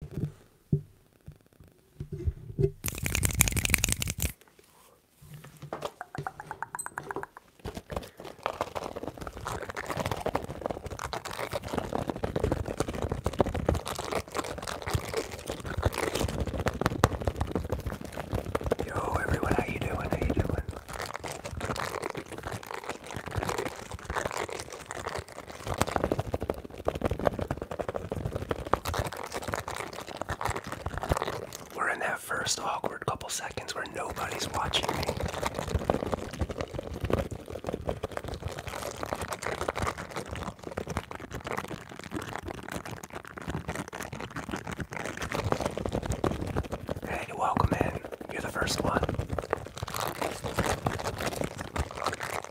Yo, everyone, how you doing? How you doing? We're in that first awkward couple seconds where nobody's watching me. Hey, welcome in. You're the first one. Hello,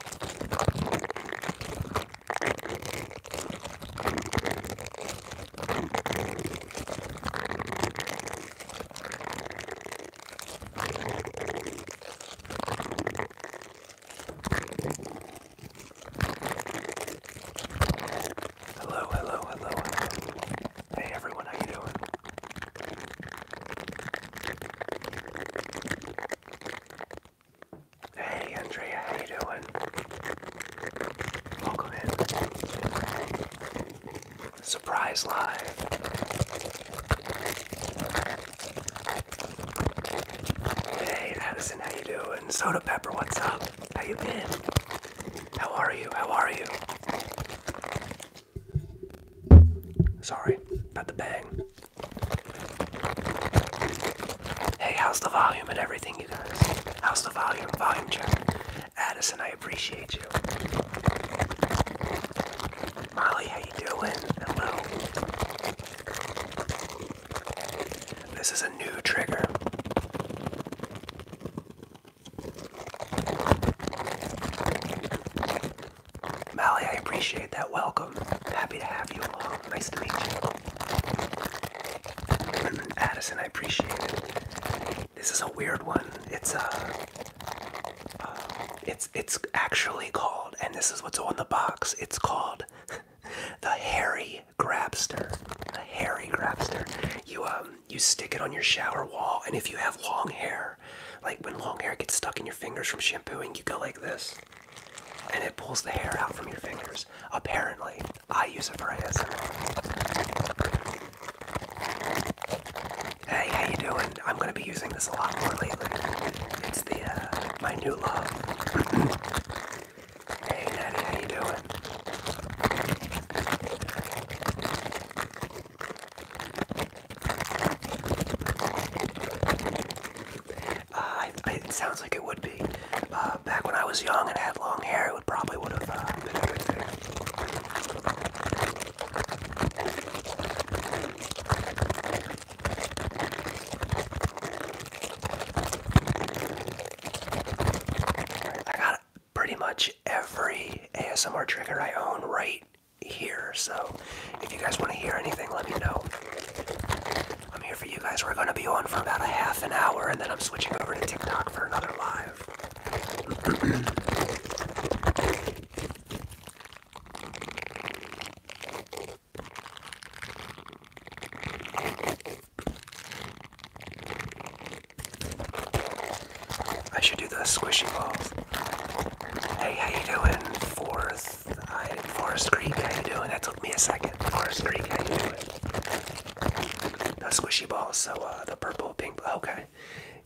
hello, hello, hello. Hey everyone, how you doing? Hey Andrea, how you doing? Welcome in. Surprise live. Hey Addison, how you doing? Soda Pepper, what's up? How you been? How are you? How are you? Sorry, about the bang. Hey, how's the volume and everything, you guys? How's the volume? Volume check. Addison, I appreciate you. Molly, how you doing? Hello. This is a new trigger. Mally, I appreciate that welcome. Happy to have you along. Nice to meet you. Addison, I appreciate it. This is a weird one. It's a. Uh, uh, it's it's actually called, and this is what's on the box. It's called the hairy grabster. The hairy grabster. You um you stick it on your shower wall, and if you have long hair, like when long hair gets stuck in your fingers from shampooing, you go like this and it pulls the hair out from your fingers. Apparently, I use it for ASMR. Hey, how you doing? I'm gonna be using this a lot more lately. It's the uh, my new love. hey, Natty, how you doing? Uh, it, sounds like it would be. Uh, back when I was young and had long hair, it would probably would have uh, been a good I got pretty much every ASMR trigger I own right here, so if you guys want to hear anything, let me know. I'm here for you guys. We're going to be on for about a half an hour, and then I'm switching over to TikTok for another live. I should do the squishy balls. Hey, how you doing? Fourth Forest Creek, how you doing? That took me a second. Forest Creek, how you it. The squishy balls, so uh, the purple, pink, okay.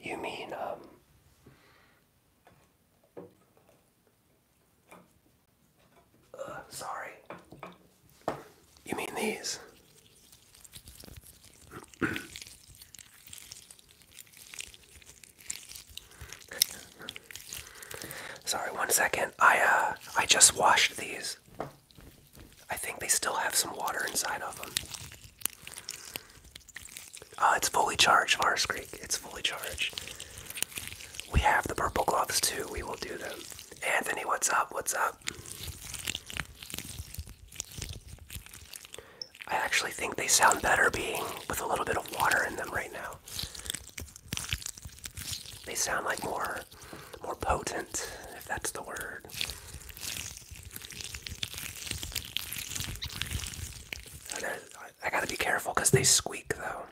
You mean, um... Uh, sorry. You mean these? Sorry, one second. I uh I just washed these. I think they still have some water inside of them. Uh, it's fully charged, Forest Creek. It's fully charged. We have the purple gloves too. We will do them. Anthony, what's up? What's up? I actually think they sound better being with a little bit of water in them right now. They sound like more more potent, if that's the word. I gotta be careful because they squeak though.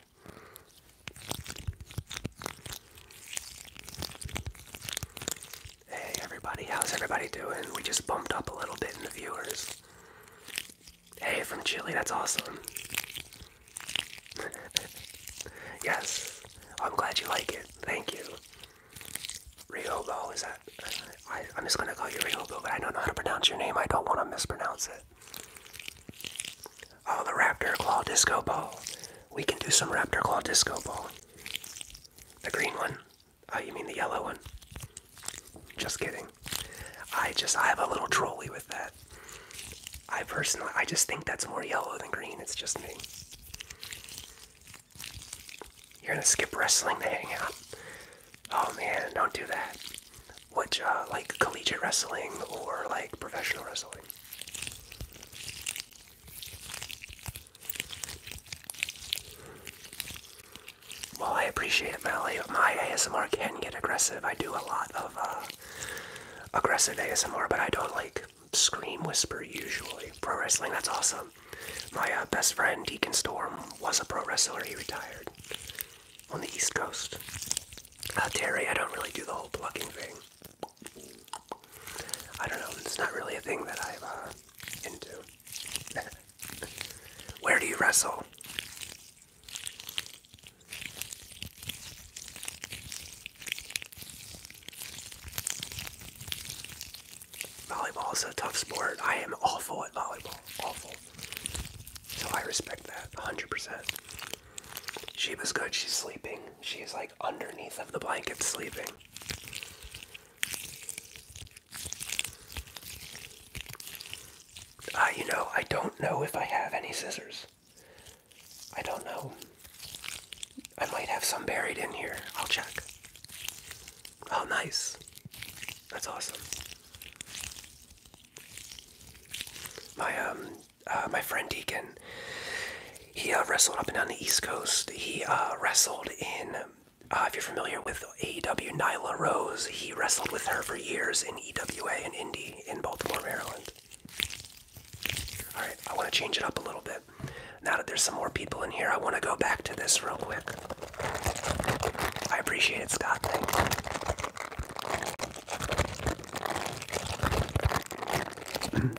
Hey everybody, how's everybody doing? We just bumped up a little bit in the viewers. Hey, from Chile, that's awesome. yes, I'm glad you like it. Thank you. Riobo, is that? I, am just gonna call you Riobo, but I don't know how to pronounce your name. I don't want to mispronounce it. Oh, the Raptor Claw Disco Ball. We can do some Raptor Claw Disco Ball. The green one. Oh, you mean the yellow one? Just kidding. I just I have a little trolley with that. I personally I just think that's more yellow than green. It's just me. You're gonna skip wrestling to hang out. Oh man, don't do that. Which uh, like collegiate wrestling or like professional wrestling. Well, I appreciate it, Melly. My ASMR can get aggressive. I do a lot of uh, aggressive ASMR, but I don't like scream whisper usually. Pro wrestling, that's awesome. My uh, best friend Deacon Storm was a pro wrestler. He retired on the East Coast. Uh, Terry, I don't really do the whole plugging thing. I don't know. It's not really a thing that I'm uh, into. Where do you wrestle? Volleyball is a tough sport. I am awful at volleyball. Awful. So I respect that 100%. Sheba's good. She's sleeping. She's like underneath of the blanket sleeping. Uh, you know, I don't know if I have any scissors. I don't know. I might have some buried in here. I'll check. Oh, nice. That's awesome. My um, uh, my friend Deacon, he uh, wrestled up and down the East Coast. He uh, wrestled in. if you're familiar with AEW, Nyla Rose, he wrestled with her for years in EWA and Indy in Baltimore, Maryland. All right, I want to change it up a little bit. Now that there's some more people in here, I want to go back to this real quick. I appreciate it, Scott. Thanks.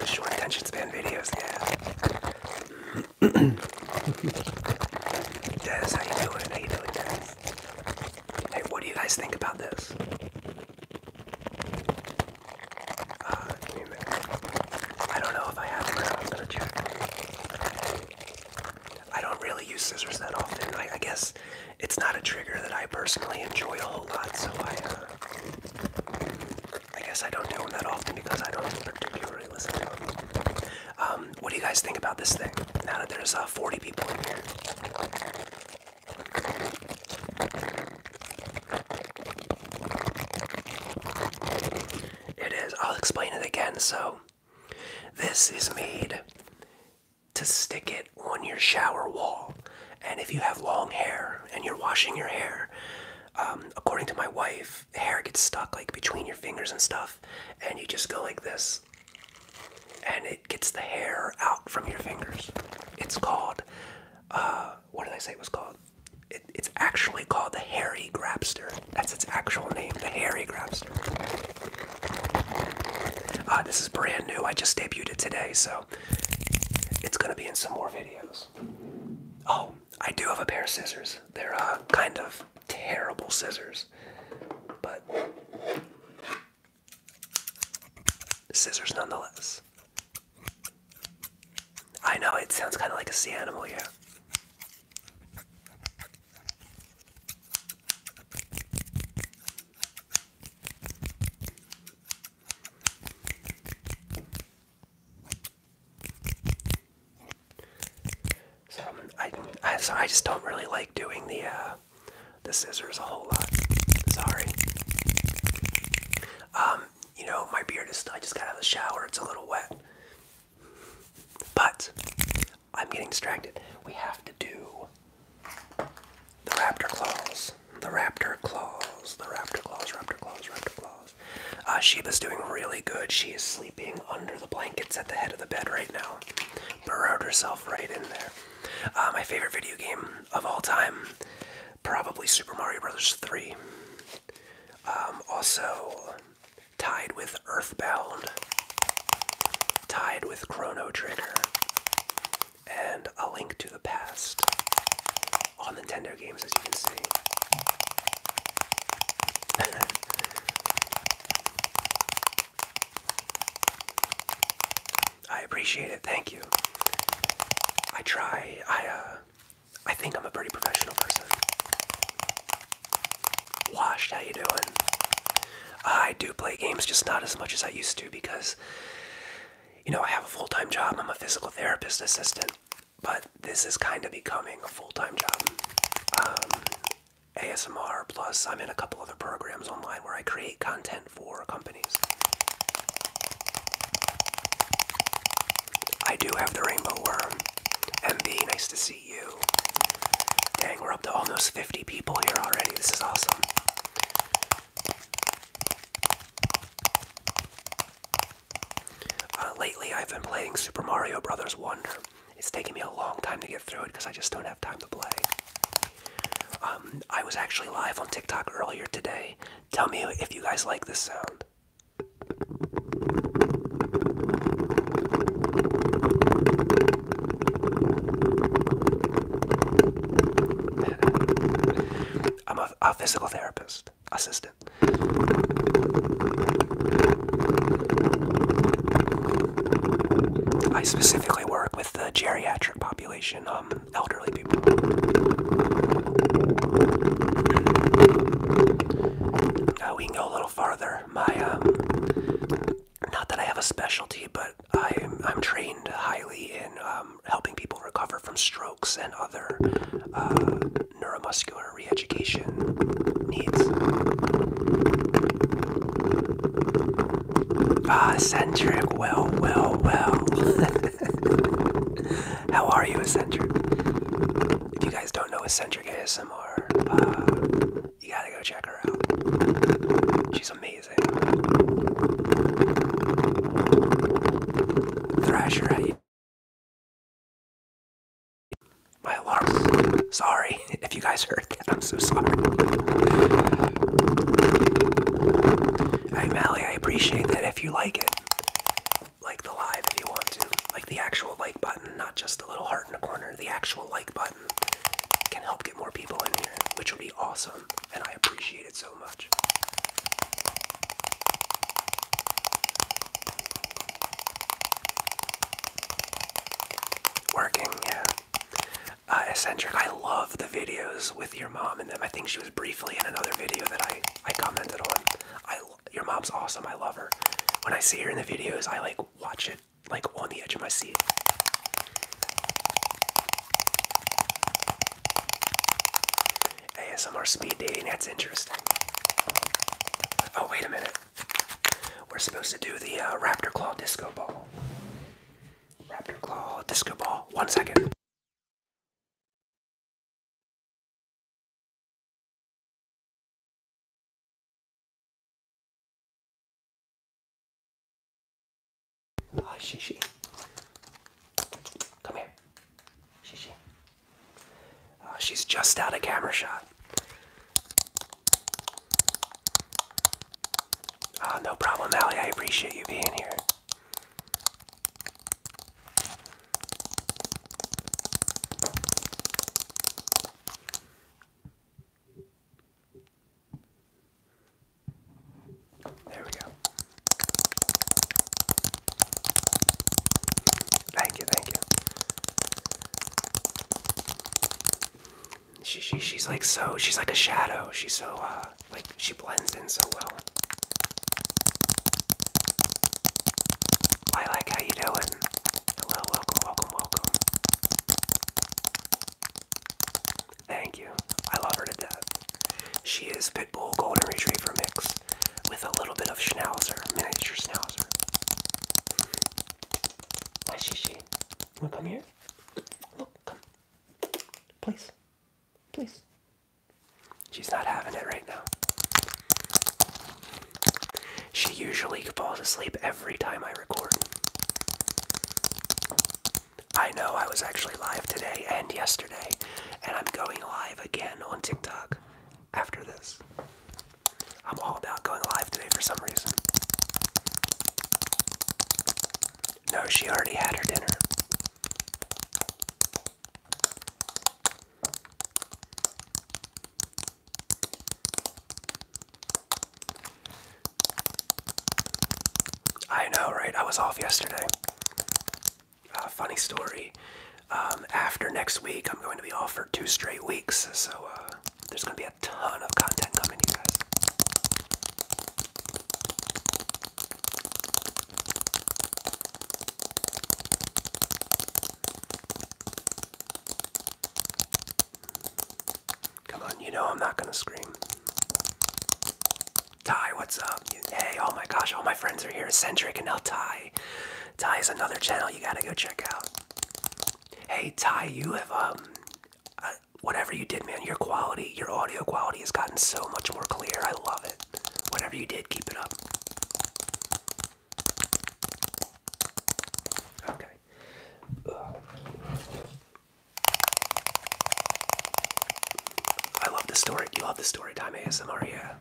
short attention span videos, yeah. Des, how you doing? How you doing, Des? Hey, what do you guys think about this? Uh, I don't know if I have I'm gonna check. I don't really use scissors that often. I, guess it's not a trigger that I personally enjoy a whole lot, so I, uh, I guess I don't do them that often because I don't particularly listen to them. Um, what do you guys think about this thing? Now that there's uh, 40 people in here. It is. I'll explain it again. So, this is made to stick it on your shower wall. And if you have long hair and you're washing your hair, um, according to my wife, hair gets stuck like between your fingers and stuff. And you just go like this and it gets the hair out from your fingers. It's called, uh, what did I say it was called? it's actually called the hairy grabster. That's its actual name, the hairy grabster. Uh, this is brand new. I just debuted it today, so it's gonna be in some more videos. Oh, I do have a pair of scissors. They're uh, kind of terrible scissors, but Scissors nonetheless. I know it sounds kind of like a sea animal, yeah. So I, so I just don't really like doing the uh, the scissors a whole lot. Sorry. Um, you know, my beard is, I just got out of the shower, it's a little wet. But, I'm getting distracted. We have to do the raptor claws. The raptor claws. The raptor claws, raptor claws, raptor claws. Uh, Sheba's doing really good. She is sleeping under the blankets at the head of the bed right now. Burrowed herself right in there. Uh, my favorite video game of all time, probably Super Mario Brothers 3. Um, also tied with Earthbound, tied with Chrono Trigger, and A Link to the Past. All Nintendo games, as you can see. I appreciate it. Thank you. I try. I uh I think I'm a pretty professional person. Washed, how you doing? I do play games, just not as much as I used to because you know, I have a full-time job. I'm a physical therapist assistant, but this is kind of becoming a full-time job. Um ASMR plus I'm in a couple other programs online where I create content and companies. I do have the rainbow worm. MB, nice to see you. Dang, we're up to almost 50 people here already. This is awesome. Uh, lately, I've been playing Super Mario Brothers Wonder. It's taking me a long time to get through it because I just don't have time to play. Um, I was actually live on TikTok earlier today. Tell me if you guys like this sound. I'm a physical therapist, assistant. I specifically work with the geriatric population um, elderly people. Uh, we can go a little farther. My, um, not that I have a specialty, but I'm, trained highly in um, helping people recover from strokes and other uh, neuromuscular reeducation needs. Ah, Centric, well, well, well. How are you, Eccentric? If you guys don't know Eccentric ASMR, uh, you gotta go check her out. She's amazing. Thrasher, how you my alarm. Sorry if you guys heard that. I'm I appreciate that if you like it. Like the live if you want to. Like the actual like button, not just the little heart in the corner. The actual like button can help get more people in here, which would be awesome. And I appreciate it so much. Working, yeah. Uh, eccentric, I love the videos with your mom and them. I think she was briefly in another video that I I commented on. your mom's awesome. I love her. When I see her in the videos, I like watch it like on the edge of my seat. ASMR speed dating. That's interesting. Oh wait a minute. We're supposed to do the uh, Raptor Claw Disco Ball. Raptor Claw, Disco Ball. One second. Ah, Shishi. Come here. Shishi. Oh, she's just out of camera shot. Uh, no problem, Ali. I appreciate you being here. There we go. Thank you, thank you. She, she she's like so she's like a shadow. She's so uh like she blends in so well. I like how you doing? Hello, welcome, welcome, welcome. Thank you. I love her to death. She is pit bull Golden Retriever mix with a little bit of Schnauzer, miniature Schnauzer. Why, she, she. come here? Look, come. Please. Please. She's not having it right now. She usually falls asleep every time I record. I know I was actually live today and yesterday, and I'm going live again on TikTok after this. I'm all about going live today for some reason. No, she already had her dinner. I know, right? I was off yesterday. Uh, funny story. Um, after next week, I'm going to be off for two straight weeks, so uh, there's going to be a ton of content coming to you guys. Come on, you know I'm not gonna scream. Ty, what's up? Hey, oh my gosh, all my friends are here. Eccentric and now Ty. Ty is another channel you gotta go check out. Hey Ty, you have um, uh, whatever you did, man, your quality, your audio quality has gotten so much more clear. I love it. Whatever you did, keep it up. Okay. I love the story. You love the story time ASMR, yeah.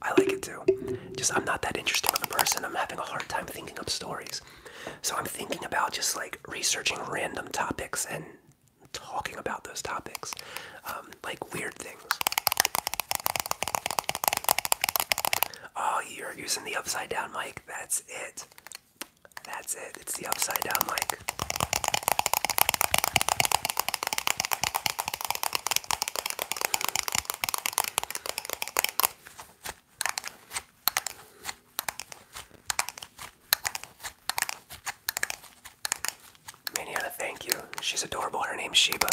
I like it too. Just I'm not that interesting of a person. I'm having a hard time thinking up stories. So I'm thinking about just like researching random topics and talking about those topics, um, like weird things. Oh, you're using the upside down mic. That's it. That's it. It's the upside down mic. Maniana, thank you. She's adorable. Her name's Sheba.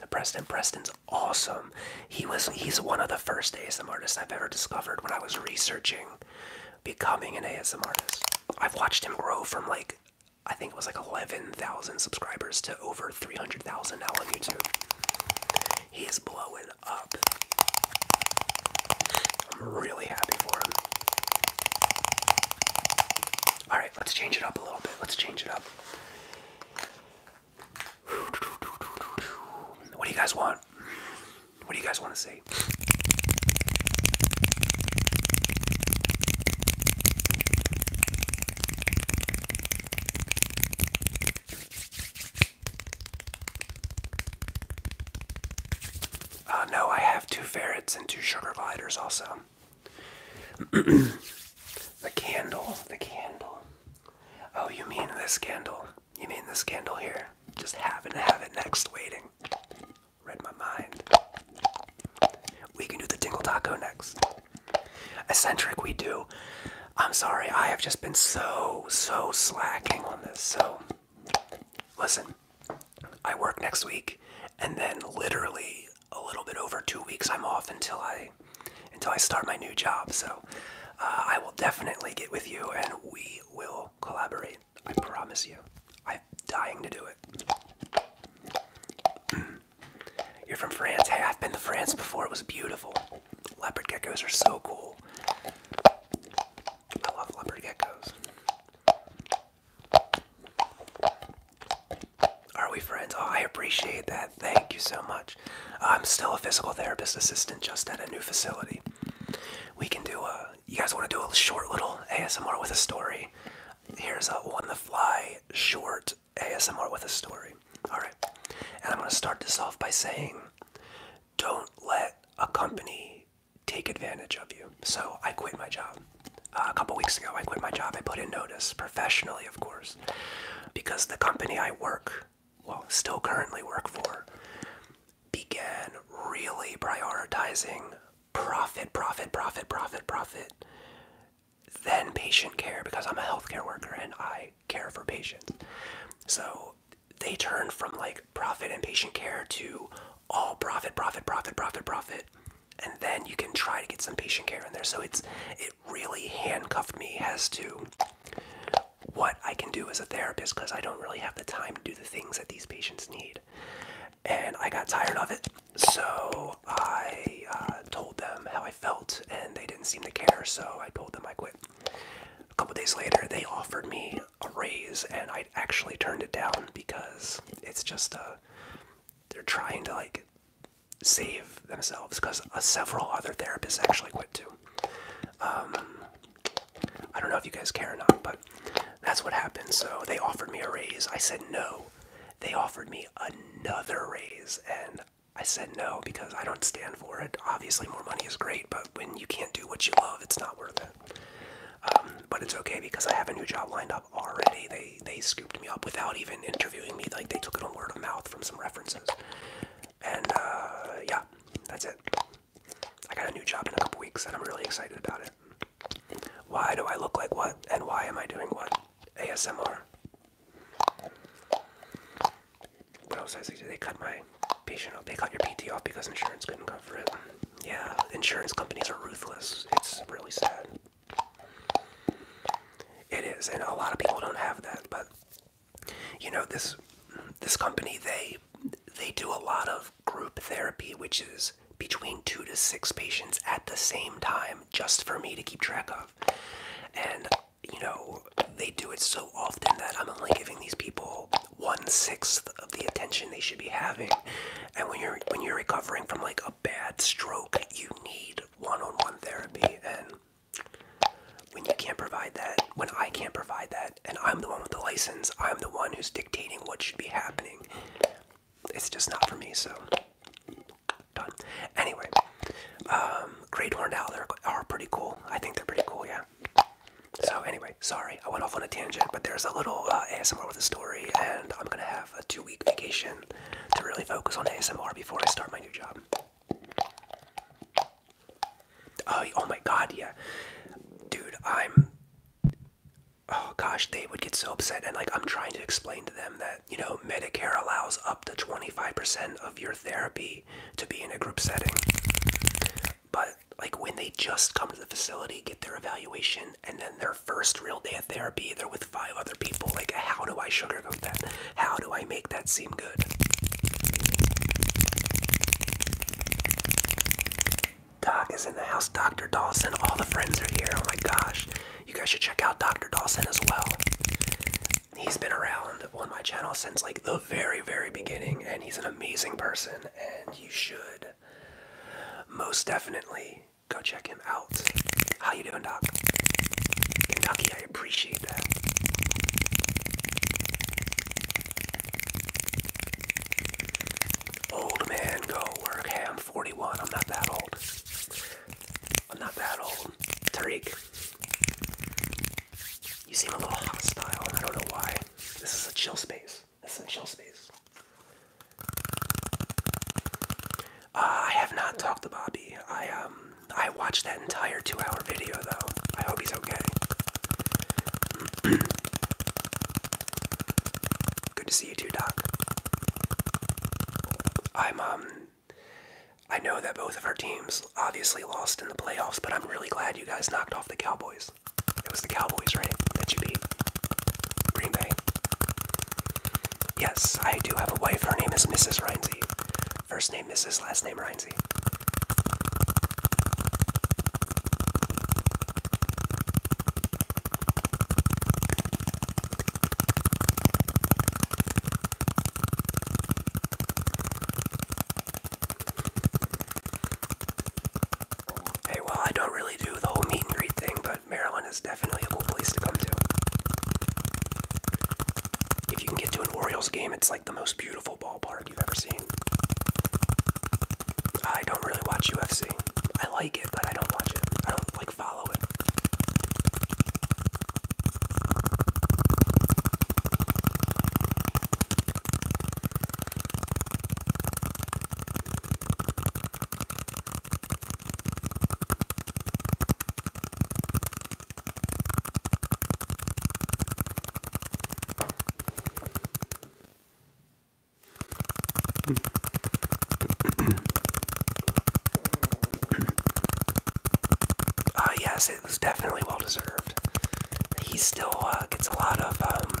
The Preston Preston's awesome. He was he's one of the first ASMR artists I've ever discovered when I was researching becoming an ASMR artist. I've watched him grow from like I think it was like 11,000 subscribers to over 300,000 now on YouTube. He is blowing up. I'm really happy for him. Alright, let's change it up a little bit. Let's change it up. What do you guys want? What do you guys want to see? Uh, no, I have two ferrets and two sugar gliders also. the candle, the candle. Oh, you mean this candle? You mean this candle here? Just happen to have it next waiting. Read my mind. We can do the tingle taco next. Eccentric, we do I'm sorry, I have just been so, so slacking on this. So, listen, I work next week, and then literally a little bit over two weeks, I'm off until I, until I start my new job. So, uh, I will definitely get with you, and we will collaborate. I promise you. I'm dying to do it. You're from France. Hey, I've been to France before. It was beautiful. Leopard geckos are so cool. I love leopard geckos. Are we friends? Oh, I appreciate that. Thank you so much. I'm still a physical therapist assistant just at a new facility. We can do a. You guys want to do a short little ASMR with a story? Here's a one the fly short ASMR with a story. Alright. And I'm going to start this off by saying don't let a company take advantage of you. So I quit my job. Uh, a couple weeks ago, I quit my job. I put in notice, professionally, of course, because the company I work, well, still currently work for, began really prioritizing profit, profit, profit, profit, profit, then patient care because I'm a healthcare worker and I care for patients. So they turn from like profit and patient care to all profit, profit, profit, profit, profit, and then you can try to get some patient care in there. So it's it really handcuffed me as to what I can do as a therapist because I don't really have the time to do the things that these patients need. And I got tired of it, so I uh, told them how I felt, and they didn't seem to care, so I told them I quit a couple days later, they offered me a raise, and I actually turned it down because it's just uh, They're trying to like save themselves because uh, several other therapists actually quit too. Um, I don't know if you guys care or not, but that's what happened. So they offered me a raise. I said no. They offered me another raise, and I said no because I don't stand Obviously, more money is great, but when you can't do what you love, it's not worth it. Um, but it's okay because I have a new job lined up already. They they scooped me up without even interviewing me. Like they took it on word of mouth from some references. And uh, yeah, that's it. I got a new job in a couple weeks, and I'm really excited about it. Why do I look like what, and why am I doing what? ASMR when I was like, they cut my patient off. They cut your PT off because insurance couldn't cover it. Yeah, insurance companies are ruthless. It's really sad. It is, and a lot of people don't have that. But you know this this company they they do a lot of group therapy, which is between two to six patients at the same time, just for me to keep track of. And you know, they do it so often that I'm only giving these people one sixth of the attention they should be having. And when you're when you're recovering from like a bad stroke, you need one-on-one therapy. And when you can't provide that, when I can't provide that, and I'm the one with the license, I'm the one who's dictating what should be happening. It's just not for me, so done. Anyway, um, great horned owl are pretty cool. I think they're pretty cool, yeah. So anyway, sorry, I went off on a tangent, but there's a little uh, ASMR with a story, and I'm gonna have a two-week vacation to really focus on ASMR before I start my new job. Oh, oh my God, yeah, dude, I'm. Oh gosh, they would get so upset, and like I'm trying to explain to them that you know Medicare allows up to 25% of your therapy to be in a group setting. But like when they just come to the facility, get their evaluation, and then their first real day of therapy, they're with five other people. Like, how do I sugarcoat that? How do I make that seem good? Doc is in the house. Dr. Dawson. All the friends are here. Oh my gosh. You guys should check out Dr. Dawson as well. He's been around on my channel since like the very, very beginning, and he's an amazing person, and you should most definitely go check him out. How you doing, Doc? Kentucky, I appreciate that. Old man, go work. I'm 41. I'm not that old. I'm not that old. Tariq, you seem a little hostile. I don't know why. This is a chill space. This is a chill space. Uh, I have not talked to Bobby. I um I watched that entire two-hour video though. I hope he's okay. Good to see you too, Doc. I'm um I know that both of our teams obviously lost in the playoffs, but I'm really glad you guys knocked off the Cowboys. It was the Cowboys, right? That you beat. Green Bay. Yes, I do have a wife. Her name is Mrs. Rhinesy. First name Mrs. Last name Rhinesy. Hey, well, I don't really do the whole meet and greet thing, but Maryland is definitely a cool place to come to. If you can get to an Orioles game, it's like the most beautiful ballpark you've ever seen. I don't really watch UFC. I like it, but I don't watch it. I don't like follow it. Ah, yes, it was definitely well deserved. He still uh, gets a lot of um,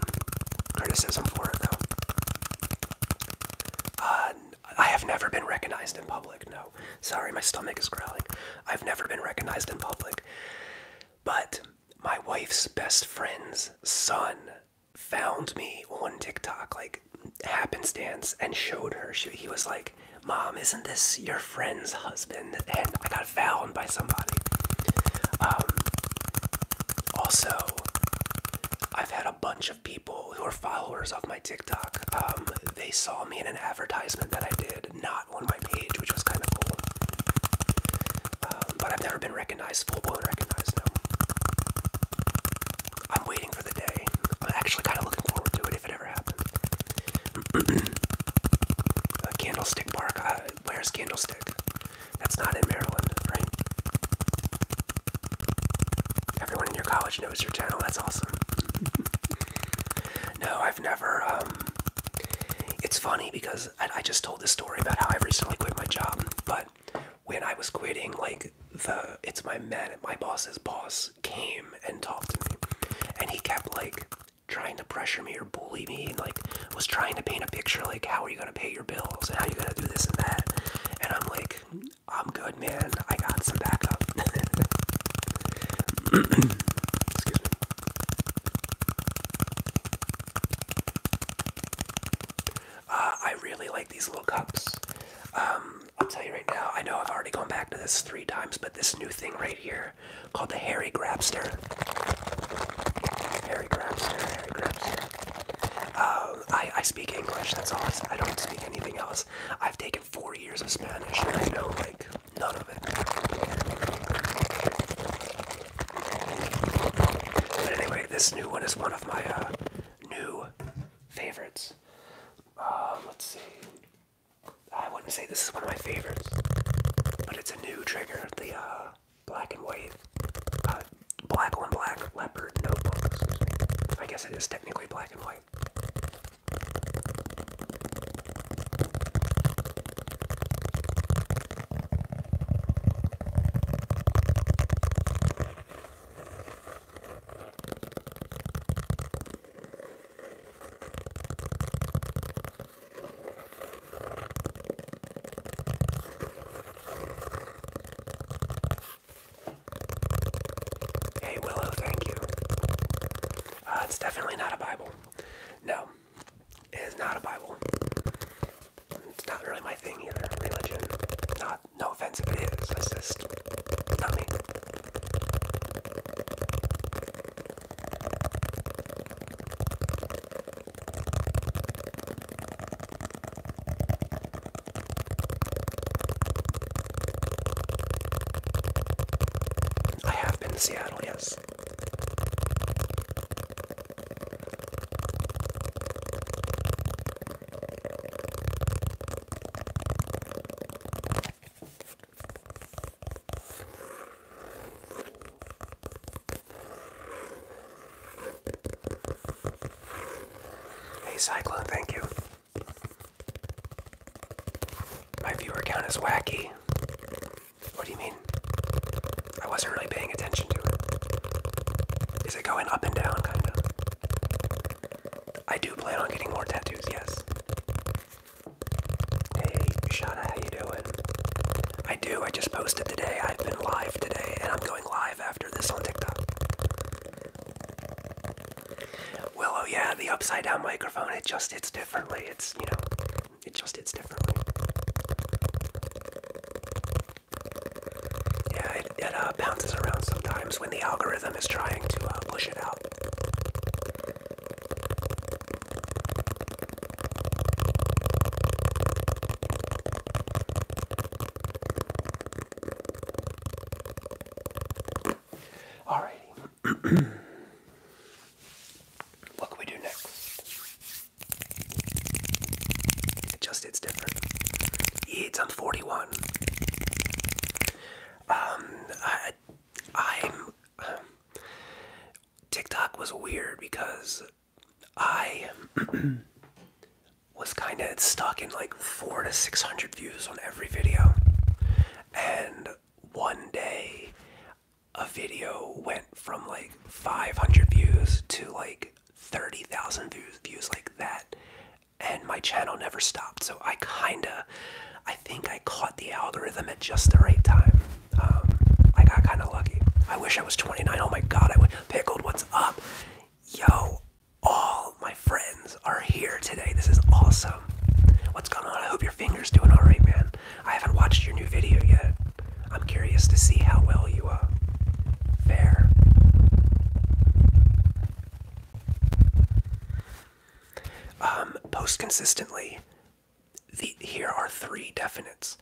criticism for it, though. Uh, I have never been recognized in public. No, sorry, my stomach is growling. I've never been recognized in public, but my wife's best friend's son found me on TikTok, like happenstance, and showed her. She, he was like, "Mom, isn't this your friend's husband, and I got found by somebody. Um, also, I've had a bunch of people who are followers of my TikTok. Um, they saw me in an advertisement that I did, not on my page, which was kind of cool. Um, but I've never been recognized, full blown recognized, no. I'm waiting for the day. I'm actually kind of looking forward to it if it ever happens. uh, candlestick Park. Uh, Maryland. Where's Candlestick? That's not in Maryland, right? Everyone in your college knows your channel. That's awesome. no, I've never. Um, it's funny because I just told this story about how I recently quit my job, but when I was quitting, like the it's my man, my boss's boss came and talked to me, and he kept like trying to pressure me or bully me and like was trying to paint a picture like how are you gonna pay your bills and how you gonna do this and that and I'm like I'm good man I got some backup excuse me uh, I really like these little cups um, I'll tell you right now I know I've already gone back to this three times but this new thing right here called the hairy grabster. Hairy grabster, hairy grabster. Um, I, I speak English, that's all. I don't speak anything else. I've taken four years of Spanish and I know, like, none of it. But anyway, this new one is one of my uh, new favorites. Um, let's see. I wouldn't say this is one of my favorites, but it's a new trigger. The uh, black and white, uh, black on black leopard notebooks. I guess it is technically black and white. Hey Willow, thank you. Uh, it's definitely not a Bible. No, it is not a Bible. It's not really my thing either. Religion. Not. No offense if it is. It's just not me. I have been to Seattle, yes. Hey Cyclone, thank you. My viewer count is wacky. What do you mean? I wasn't really paying attention to it. Is it going up and down, kind of? I do plan on getting more tattoos, yes. Hey, Shauna, how you doing? I do. I just posted today. I've been live today, and I'm going live after this on TikTok. Well, oh yeah, the upside down microphone. It just hits differently. It's you know, it just hits differently. Yeah, it, it uh, bounces around sometimes when the algorithm is trying to uh, push it out. All right. what can we do next? It just it's different. It's on 41. Um, I, I'm. Um, TikTok was weird because I was kind of stuck in like four to six hundred views on every video, and one day a video went from like 500 views to like 30,000 views views like that and my channel never stopped so I kinda I think I caught the algorithm at just the right time um, I got kind of lucky. I wish I was 29. Oh my god, I would. Pickled, what's up? Yo, all my friends are here today. This is awesome. What's going on? I hope your finger's doing alright, man. I haven't watched your new video yet. I'm curious to see how well you are. Uh, fare. Um, post consistently here are three definites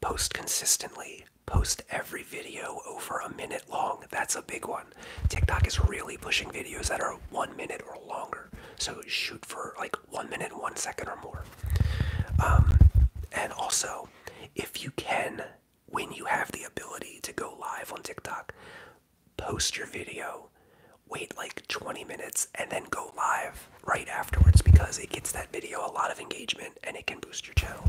post consistently, post every video over a minute long. That's a big one. TikTok is really pushing videos that are one minute or longer. So shoot for like one minute, one second or more. Um, and also, if you can, when you have the ability to go live on TikTok, post your video, wait like 20 minutes, and then go live right afterwards because it gets that video a lot of engagement and it can boost your channel.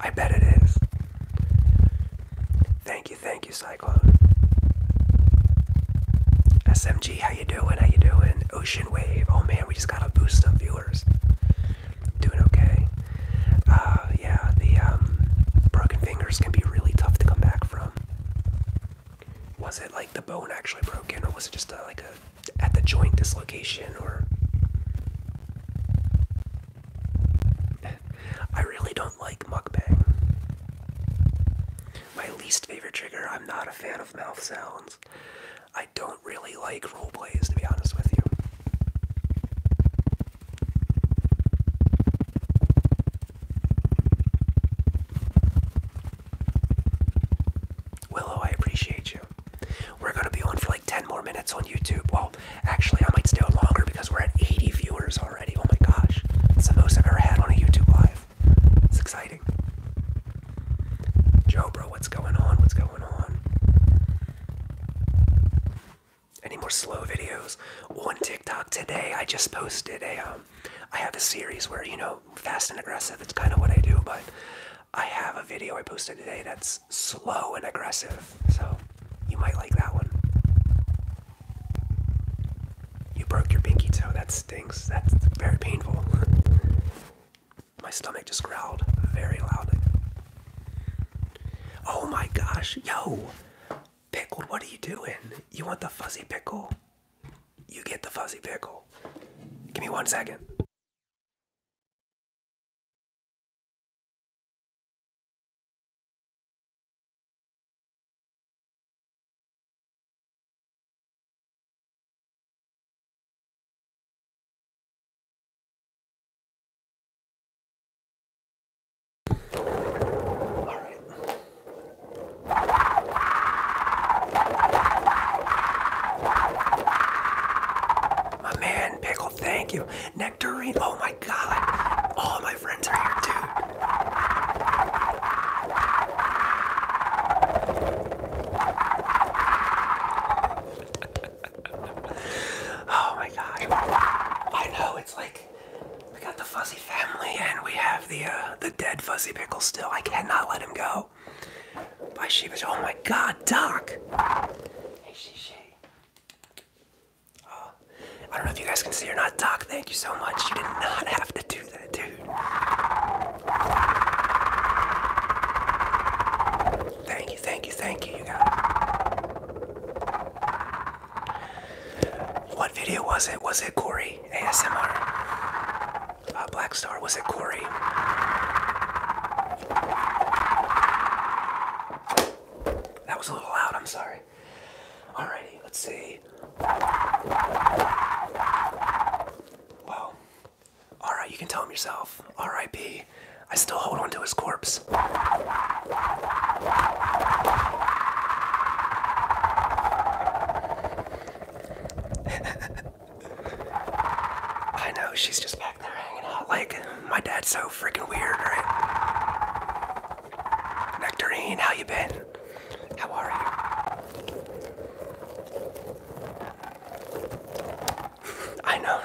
I bet it is. Thank you, thank you, Cyclone. SMG, how you doing? How you doing? Ocean Wave. Oh man, we just gotta boost some viewers. Doing okay. Uh, yeah, the um, broken fingers can be really tough to come back from. Was it like the bone actually broken, or was it just like a at the joint dislocation? Or I really don't like mukbang. My least favorite trigger. I'm not a fan of mouth sounds. I don't really like role plays, to be honest with you. Willow, I appreciate you. We're gonna be on for like 10 more minutes on YouTube. Well, actually, I might stay on longer because we're at 80 viewers already. Oh my gosh, it's the most I've ever had on a YouTube live. It's exciting. Joe, bro, what's going on? What's going on? Any more slow videos on TikTok today? I just posted a um, um, I have a series where, you know, fast and aggressive, it's kind of what I do, but I have a video I posted today that's slow and aggressive, so you might like that one. You broke your pinky toe, that stings. That's very painful. My stomach just growled very loud. Oh my gosh, yo! pickle! what are you doing? You want the fuzzy pickle? you get the fuzzy pickle. Give me one second. All right. My man, Pickle, thank you. Nectarine, oh my god. All my friends are here, dude. oh my gosh. I know, it's like, we got the fuzzy family, and we have the uh, the dead Fuzzy Pickle still. I cannot let him go. By Sheevish. Oh my God, Doc. Hey, she, Oh, I don't know if you guys can see or not, Doc. Thank you so much. You did not have to do that, dude. Thank you, thank you, thank you, you guys. What video was it? Was it Corey ASMR? uh, Black Star. Was it Corey? That was a little loud. I'm sorry. Alrighty, let's see. Well, all right, you can tell him yourself. R.I.P. I still hold on to his corpse. I know she's just back there hanging out. Like my dad's so freaking weird, right? Nectarine, how you been? How are you? I know,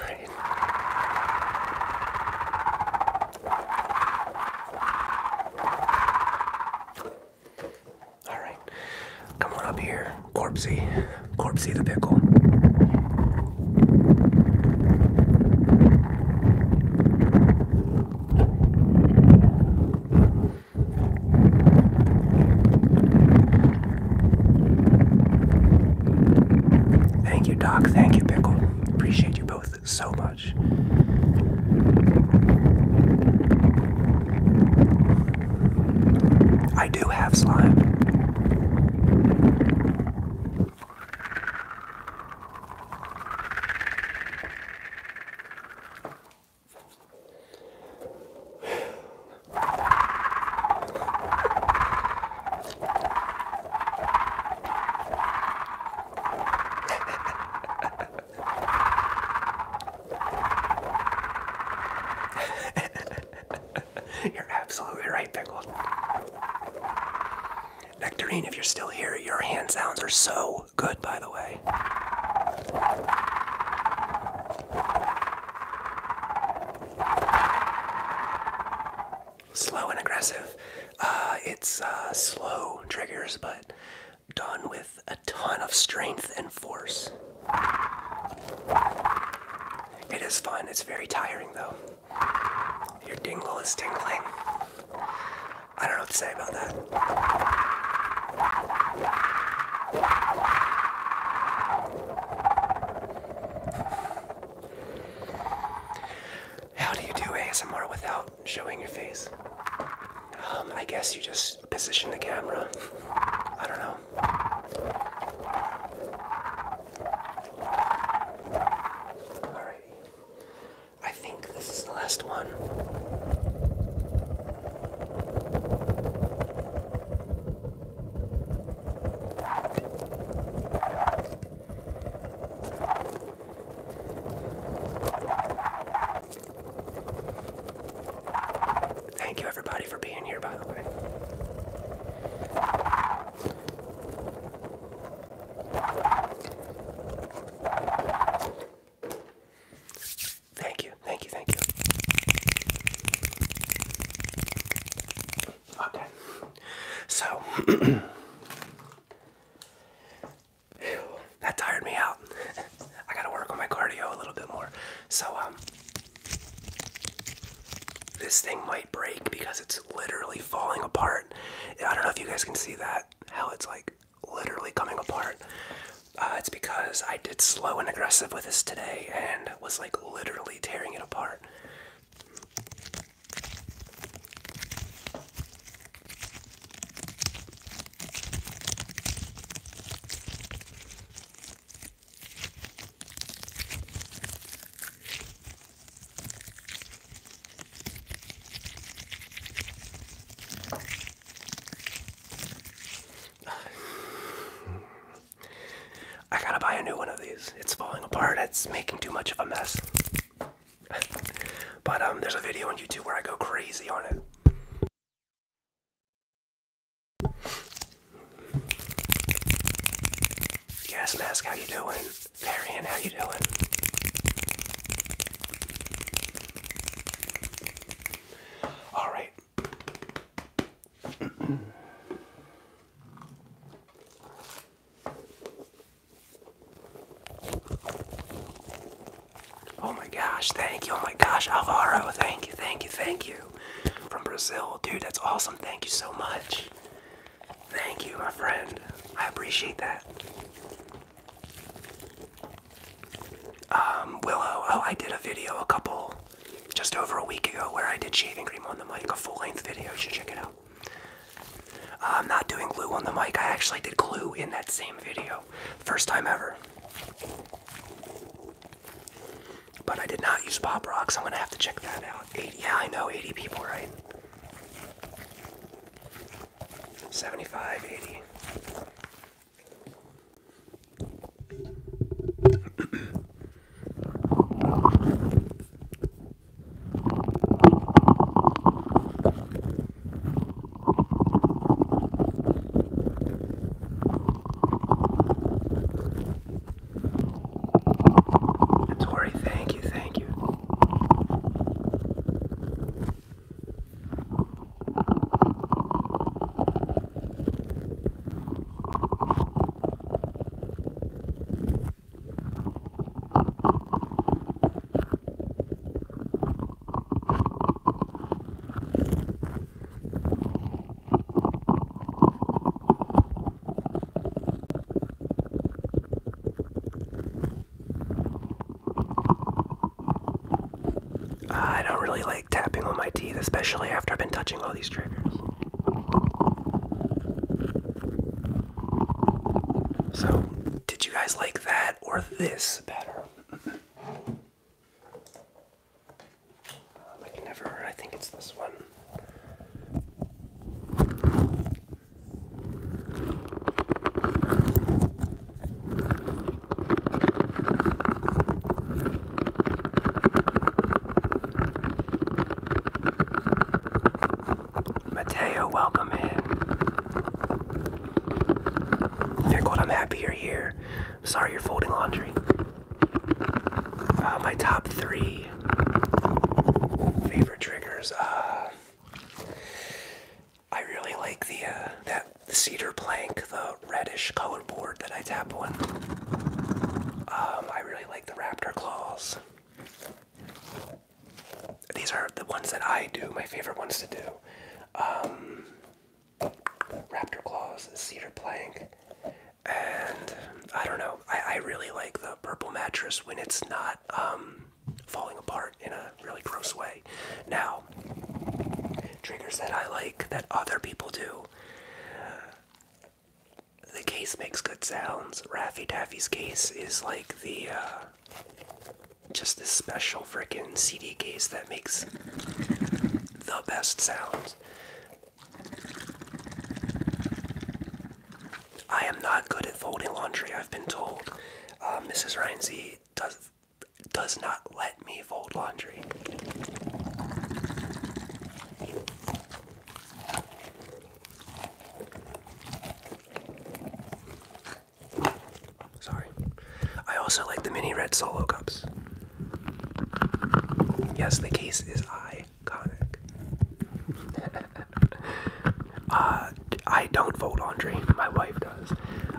all right, come on up here, Corpsey, Corpsey the pickle. Thank you, Doc. Thank you, Pickle. Appreciate you both so much. I do have slime. you're absolutely right, Pickled. Nectarine, if you're still here, your hand sounds are so good, by the way. Slow and aggressive. Uh, it's uh, slow triggers, but done with a ton of strength and force. It is fun, it's very tiring though. Your dingle is tingling. I don't know what to say about that. How do you do ASMR without showing your face? Um, I guess you just position the camera. I don't know. Alrighty. I think this is the last one. Thank you, everybody, for being here, by the way. Thank you, thank you, thank you. Okay. So. that tired me out. I gotta work on my cardio a little bit more. So, um, this thing might break because it's literally falling apart. I don't know if you guys can see that, how it's like literally coming apart. Uh, it's because I did slow and aggressive with this today and was like literally tearing it apart. I gotta buy a new one of these. It's falling apart. It's making too much of a mess. but um, there's a video on YouTube where I go crazy on it. Gas mask, how you doing? Varian, how you doing? All right. Oh my gosh, thank you. Oh my gosh, Alvaro, thank you, thank you, thank you. From Brazil, dude, that's awesome. Thank you so much. Thank you, my friend. I appreciate that. Um, Willow, oh, I did a video a couple, just over a week ago, where I did shaving cream on the mic, a full length video. You should check it out. I'm not doing glue on the mic. I actually did glue in that same video. First time ever. But I did not use Bob Rocks. I'm going to have to check that out. 80, yeah, I know, 80 people, right? 75, 80. Tori, thank you, thank you. I don't really like tapping on my teeth, especially after I've been touching all these triggers. So, did you guys like that or this better? Uh, I never, I think it's this one. Mateo, welcome in. Nicole, I'm happy you're here. sorry you're folding laundry. Uh, my top three favorite triggers. Uh, I really like the uh, that cedar plank, the reddish colored board that I tap on. Um, I really like the raptor claws. These are the ones that I do, my favorite ones to do. Um, raptor claws, cedar plank, and I don't know. I, I really like the purple mattress when it's not um, falling apart in a really gross way. Now, triggers that I like that other people do. The case makes good sounds. Raffy Daffy's case is like the uh, just this special frickin' CD case that makes the best sounds. I am not good at folding laundry, I've been told. Uh, Mrs. Rhinesy does does not let me fold laundry. Sorry. I also like the mini red solo cups. Yes, the case is iconic. Uh, I don't fold laundry. My wife does.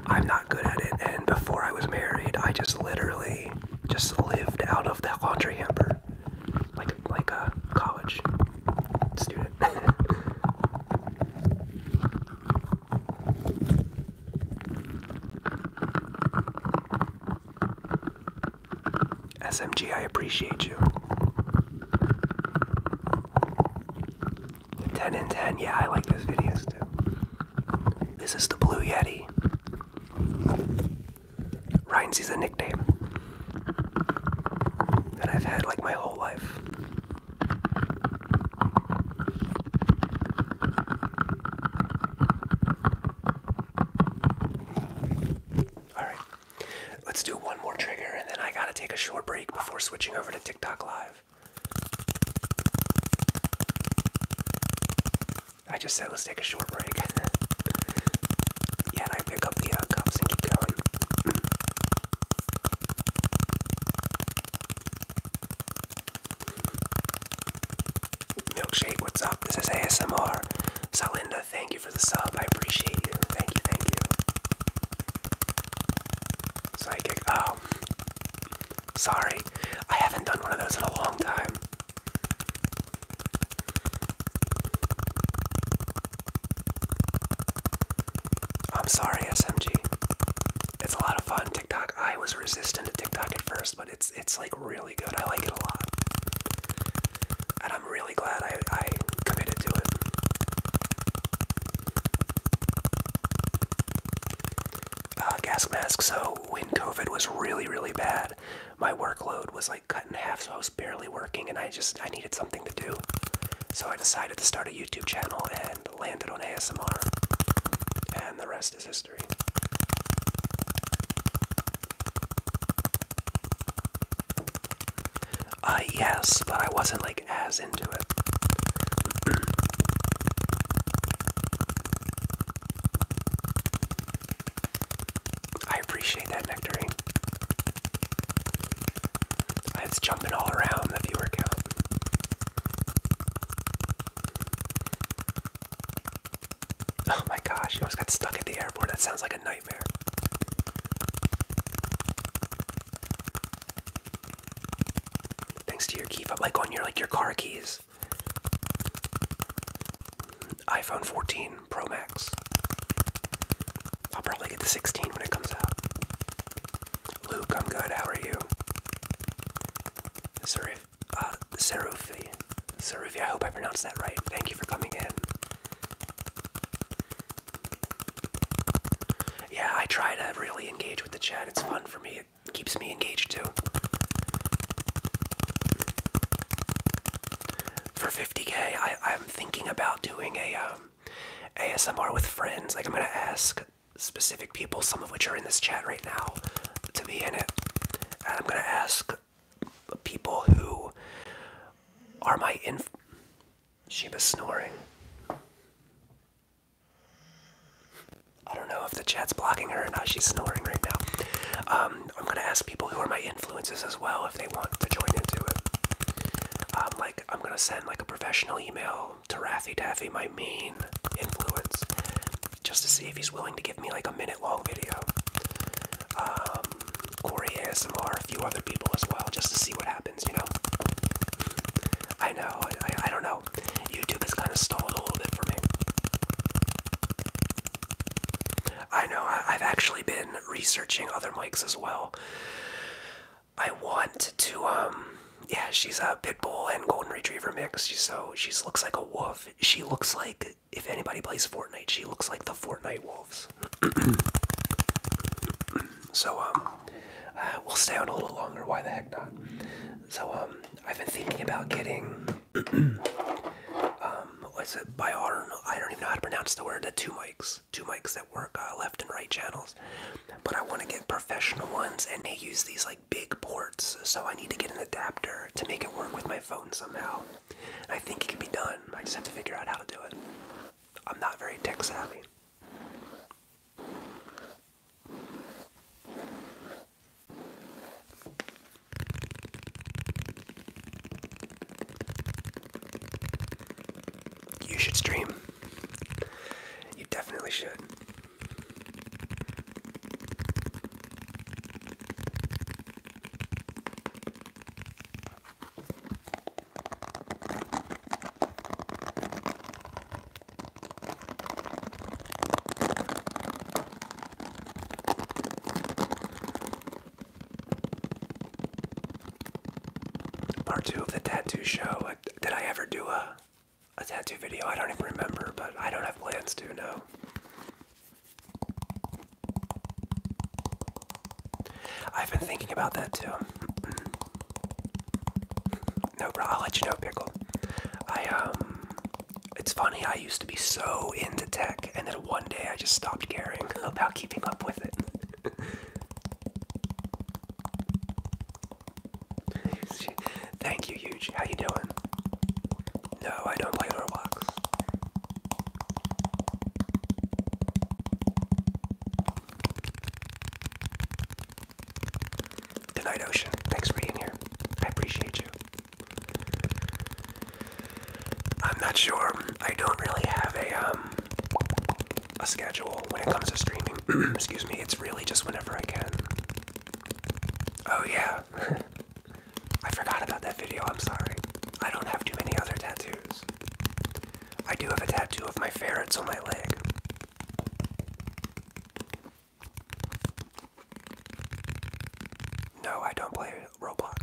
I'm not good at it. And before I was married, I just literally just lived out of that laundry hamper, like like a college student. SMG, I appreciate you. 10 and 10, yeah, I like those videos too. This is the Blue Yeti. Ryan sees a nickname that I've had like my whole life. Alright, let's do one more trigger and then I gotta take a short break before switching over to TikTok Live. I just said let's take a short break. and I pick up the uh, cups and keep going. Milkshake, what's up? This is ASMR. Salinda, thank you for the sub. I appreciate you. Thank you, thank you. Psychic, oh. Sorry, I haven't done one of those in a long time. I'm sorry, SMG. It's a lot of fun, TikTok. I was resistant to TikTok at first, but it's it's like really good. I like it a lot, and I'm really glad I I committed to it. Uh, gas mask. So when COVID was really really bad, my workload was like cut in half, so I was barely working, and I just I needed something to do. So I decided to start a YouTube channel and landed on ASMR, and the rest is history history. Uh, yes, but I wasn't like as into it. I appreciate that nectarine. It's jumping all around the viewer count. Oh my gosh, you almost got stuck at the airport. That sounds like a nightmare. Thanks to your key fob, like on your like your car keys. iPhone 14 Pro Max. I'll probably get the 16 when it comes out. Luke, I'm good. How are you? Sorry uh, Sarufi. I hope I pronounced that right. Thank you for coming in. Yeah, I try to really engage with the chat. It's fun for me. It keeps me engaged too. For 50k, I, I'm thinking about doing a um, ASMR with friends. Like I'm gonna ask specific people, some of which are in this chat right now, to be in it and I'm gonna ask people who are my inf. She was snoring. I don't know if the chat's blocking her or not. She's snoring right now. Um, I'm gonna ask people who are my influences as well if they want to join into it. Um, like I'm gonna send like a professional email to Raffy Taffy, my main influence, just to see if he's willing to give me like a minute long video. Um, Corey ASMR, a few other people as well, just to see what happens, you know? I know, I, I don't know. YouTube is kind of stalled a little bit for me. I know, I, I've actually been researching other mics as well. I want to, um, yeah, she's a pit bull and golden retriever mix. so she looks like a wolf. She looks like if anybody plays Fortnite, she looks like the Fortnite wolves. so um, uh, we'll stay on a little longer. Why the heck not? So um, I've been thinking about getting um, what's it? By iron, I don't even know how to pronounce the word. The two mics, two mics that work uh, left and right channels. But I want to get professional ones, and they use these like big ports, so I need to get an adapter to make it work with my phone somehow. I think it can be done. I just have to figure out how to do it. I'm not very tech savvy. You should stream. You definitely should. Part two of the tattoo show. Uh, did I ever do a a tattoo video? I don't even remember, but I don't have plans to. No. I've been thinking about that too. no, bro, I'll let you know, Pickle. I, um, it's funny, I used to be so into tech, and then one day I just stopped caring about keeping up with it. Thank you, Huge. How you doing? No, I don't play Roblox. Good Night Ocean, thanks for being here. I appreciate you. I'm not sure. I don't really have a um a schedule when it comes to streaming. Excuse me. It's really just whenever I can. Oh yeah. I forgot about that video, I'm sorry. I don't have too many other tattoos. I do have a tattoo of my ferrets on my leg. No, I don't play Roblox.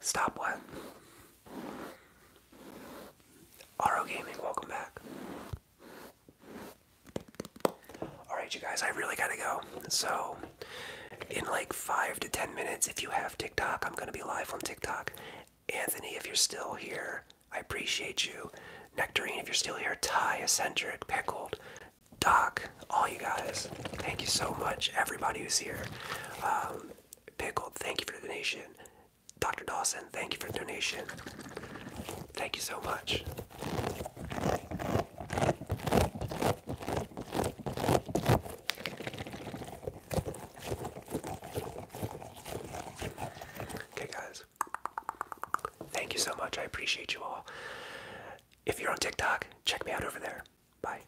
Stop what? RO Gaming, welcome back. Alright, you guys, I really gotta go. So, in like five to ten minutes, if you have TikTok, I'm gonna be live on TikTok. Anthony, if you're still here, I appreciate you. Nectarine, if you're still here, tie Eccentric, Pickled, Doc, all you guys. Thank you so much, everybody who's here. Um, Pickled, thank you for the donation. Dr. Dawson, thank you for the donation. Thank you so much. Okay, guys. Thank you so much. I appreciate you all. If you're on TikTok, check me out over there. Bye.